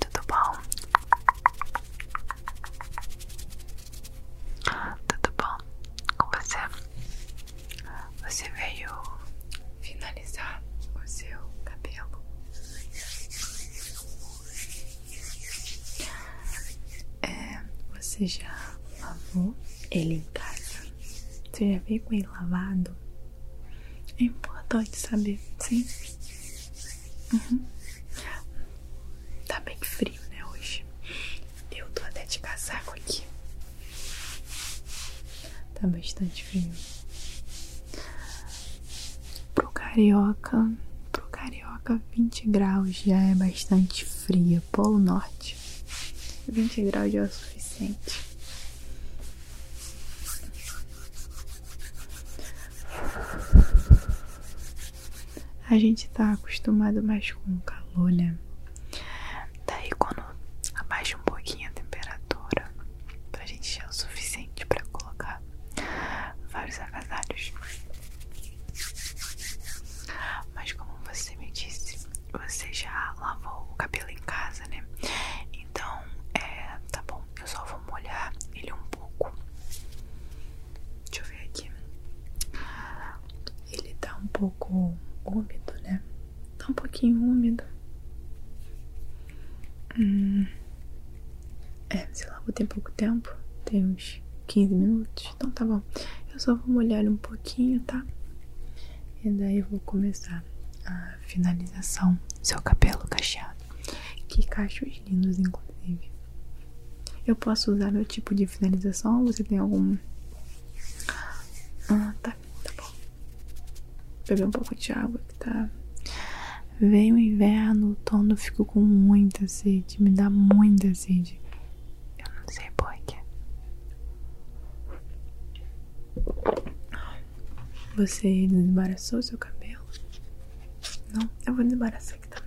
tudo bom? Tudo bom com você? Você veio finalizar o seu cabelo? É, você já lavou ele em casa? Você já veio com ele lavado? É importante saber, sim? Uhum. Tá bem frio, né, hoje? Eu tô até de casaco aqui. Tá bastante frio. Pro carioca, pro carioca 20 graus já é bastante frio. Polo norte, 20 graus de açúcar suficiente. A gente tá acostumado mais com o calor, né? Daí quando abaixa um pouquinho a temperatura, pra gente é o suficiente pra colocar vários acasalhos, Mas como você me disse, você já lavou o cabelo em casa, né? Então, é, tá bom, eu só vou molhar ele um pouco. Deixa eu ver aqui. Ele tá um pouco úmido, né? Tá um pouquinho úmido. Hum. É, sei lá, vou ter pouco tempo. Tem uns 15 minutos. Então tá bom. Eu só vou molhar ele um pouquinho, tá? E daí eu vou começar a finalização seu cabelo cacheado. Que cachos lindos, inclusive. Eu posso usar meu tipo de finalização você tem algum? Ah, tá, tá bom. Beber um pouco de água que tá. Veio o inverno, o outono, fico com muita sede, me dá muita sede. Eu não sei porquê. Você desembaraçou seu cabelo? Não, eu vou desembaraçar aqui também.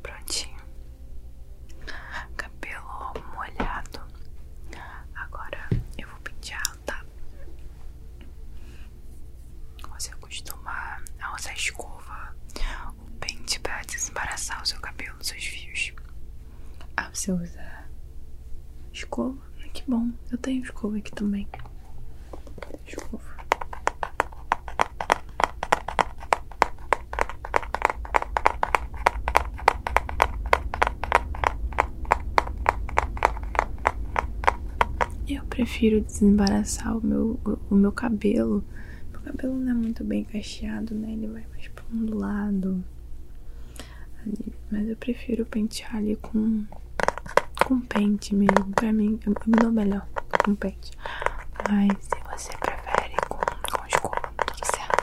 Prontinho, cabelo molhado. Agora eu vou pentear, tá? Você acostuma a usar escova ou pente para desembaraçar o seu cabelo, os seus fios? Ah, você usa escova? Ah, que bom, eu tenho escova aqui também. Escova. Eu prefiro desembaraçar o meu o, meu cabelo. Meu cabelo não é muito bem cacheado, né? Ele vai mais pra um lado. Ali. Mas eu prefiro pentear ali com, com pente mesmo. Pra mim, eu, me dou melhor com pente. Mas se você prefere com, com escova, tudo certo.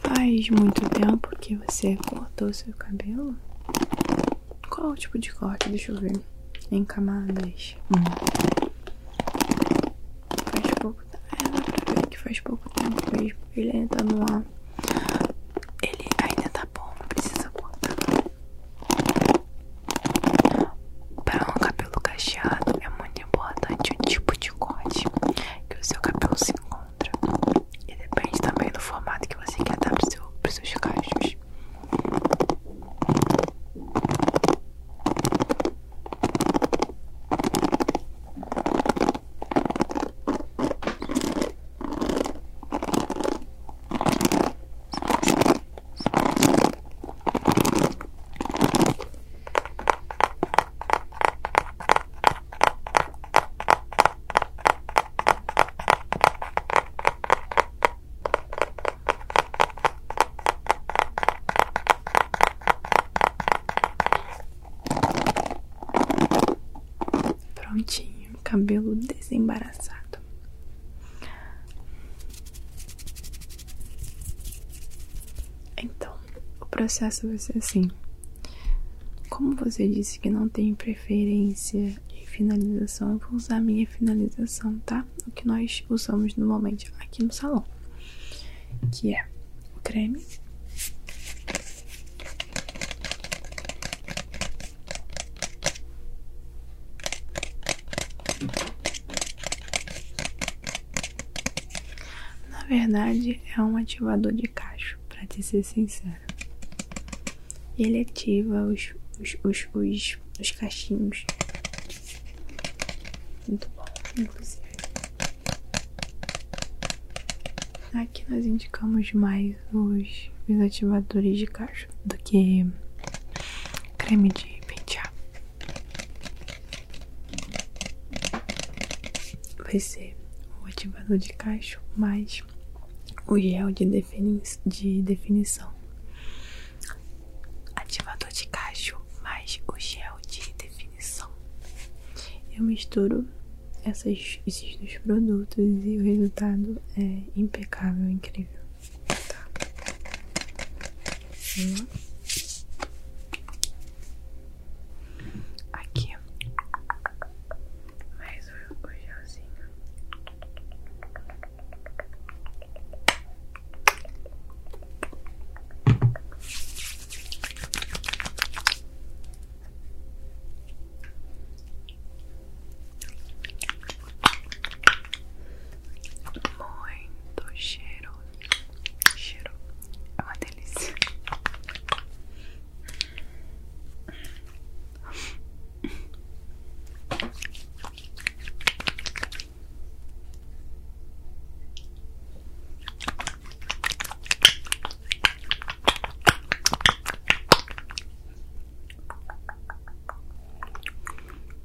Faz muito tempo que você cortou seu cabelo? Qual o tipo de corte? Deixa eu ver. Em camadas. Hum. Faz pouco tempo. É, dá ver que faz pouco tempo mesmo. Ele ainda tá no ar. Ele ainda tá bom, não precisa cortar. Para um cabelo cacheado é muito importante o tipo de corte que o seu cabelo se encontra e depende também do formato que você quer dar para os seus cachos. Prontinho, cabelo desembaraçado. Então, o processo vai ser assim. Como você disse que não tem preferência de finalização, eu vou usar minha finalização, tá? O que nós usamos normalmente aqui no salão, que é o creme. Na verdade, é um ativador de cacho, para te ser sincero. Ele ativa os, os, os, os, cachinhos. Muito bom, inclusive. Aqui nós indicamos mais os, os ativadores de cacho do que creme de pentear. Vai ser o ativador de cacho mais o gel de, defini de definição. Ativador de cacho mais o gel de definição. Eu misturo essas, esses dois produtos e o resultado é impecável, incrível tá? Aqui, mais o, o gelzinho. Muito cheiro. Cheiro. É uma delícia.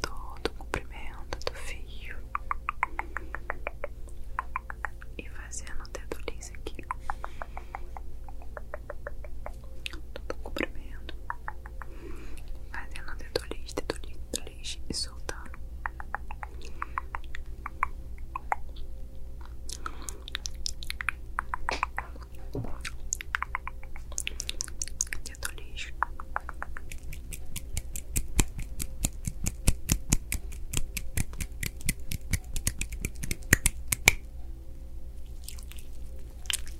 todo o comprimento do fio e fazendo o dedo aqui todo comprimento, fazendo detolite, detolite, detolite e soltando. Dedo lixo.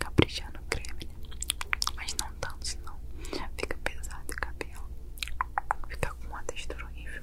Caprichar no né? Mas não tanto, senão fica pesado o cabelo. Fica com uma textura horrível.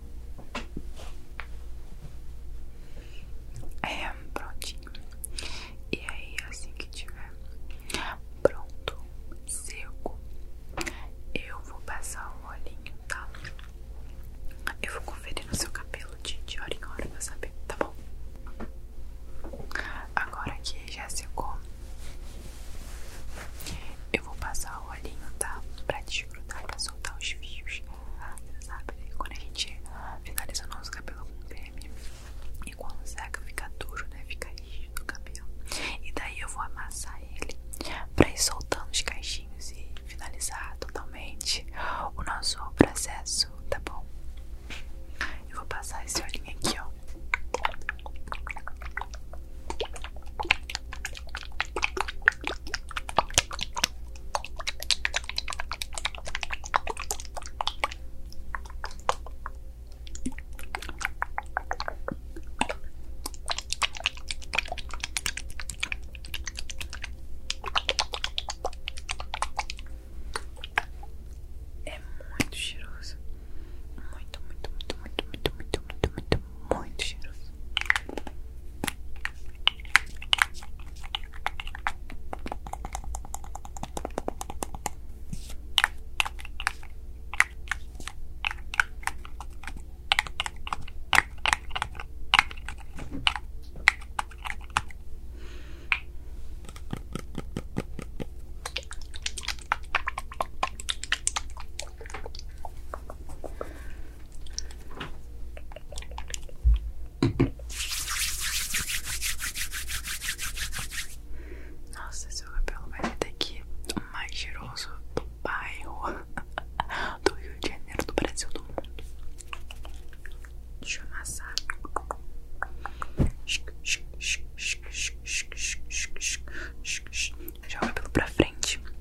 É, prontinho. E aí, assim que tiver pronto, seco, eu vou passar o olhinho, tá? Eu vou conferir no seu cabelo de, de hora em hora pra saber, tá bom? Agora que já secou, eu vou passar o olhinho, tá? Pra desgrudar, pra soltar os fios você Quando a gente finaliza o nosso cabelo com creme e quando seca fica duro, né? Fica rígido o cabelo. E daí eu vou amassar ele pra ir soltando os caixinhos e finalizar totalmente o nosso processo, tá bom? Eu vou passar esse olhinho aqui, ó. É muito cheiroso. Muito, muito, muito, muito, muito, muito, muito, muito, muito cheiroso. Nossa, seu cabelo vai ser daqui o mais cheiroso do bairro do Rio de Janeiro, do Brasil, do mundo. Deixa eu amassar. Joga o cabelo pra frente.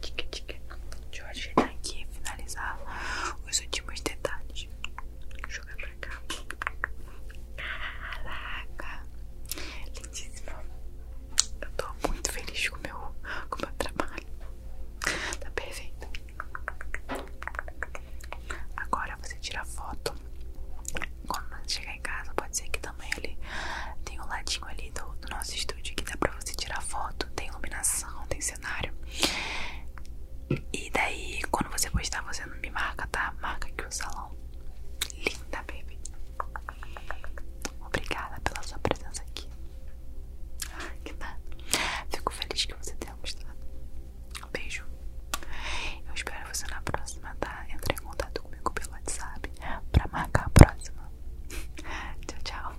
tica, tica. Deixa eu ajeitar aqui e finalizar os últimos detalhes. Jogar pra cá. Caraca! Lindíssimo. Eu tô muito feliz com o meu, com meu trabalho. Tá perfeito. Agora você tira a foto. Quando chegar em casa, pode ser que também ele tem um ladinho ali do, do nosso estúdio estúdio que dá pra você tirar foto, tem iluminação, tem cenário. E daí, quando você postar, você não me marca, tá? Marca aqui o salão. Linda, baby. Obrigada pela sua presença aqui. Que nada. Fico feliz que você tenha gostado. beijo. Eu espero você na próxima, tá? Entre em contato comigo pelo WhatsApp pra marcar a próxima. tchau, tchau.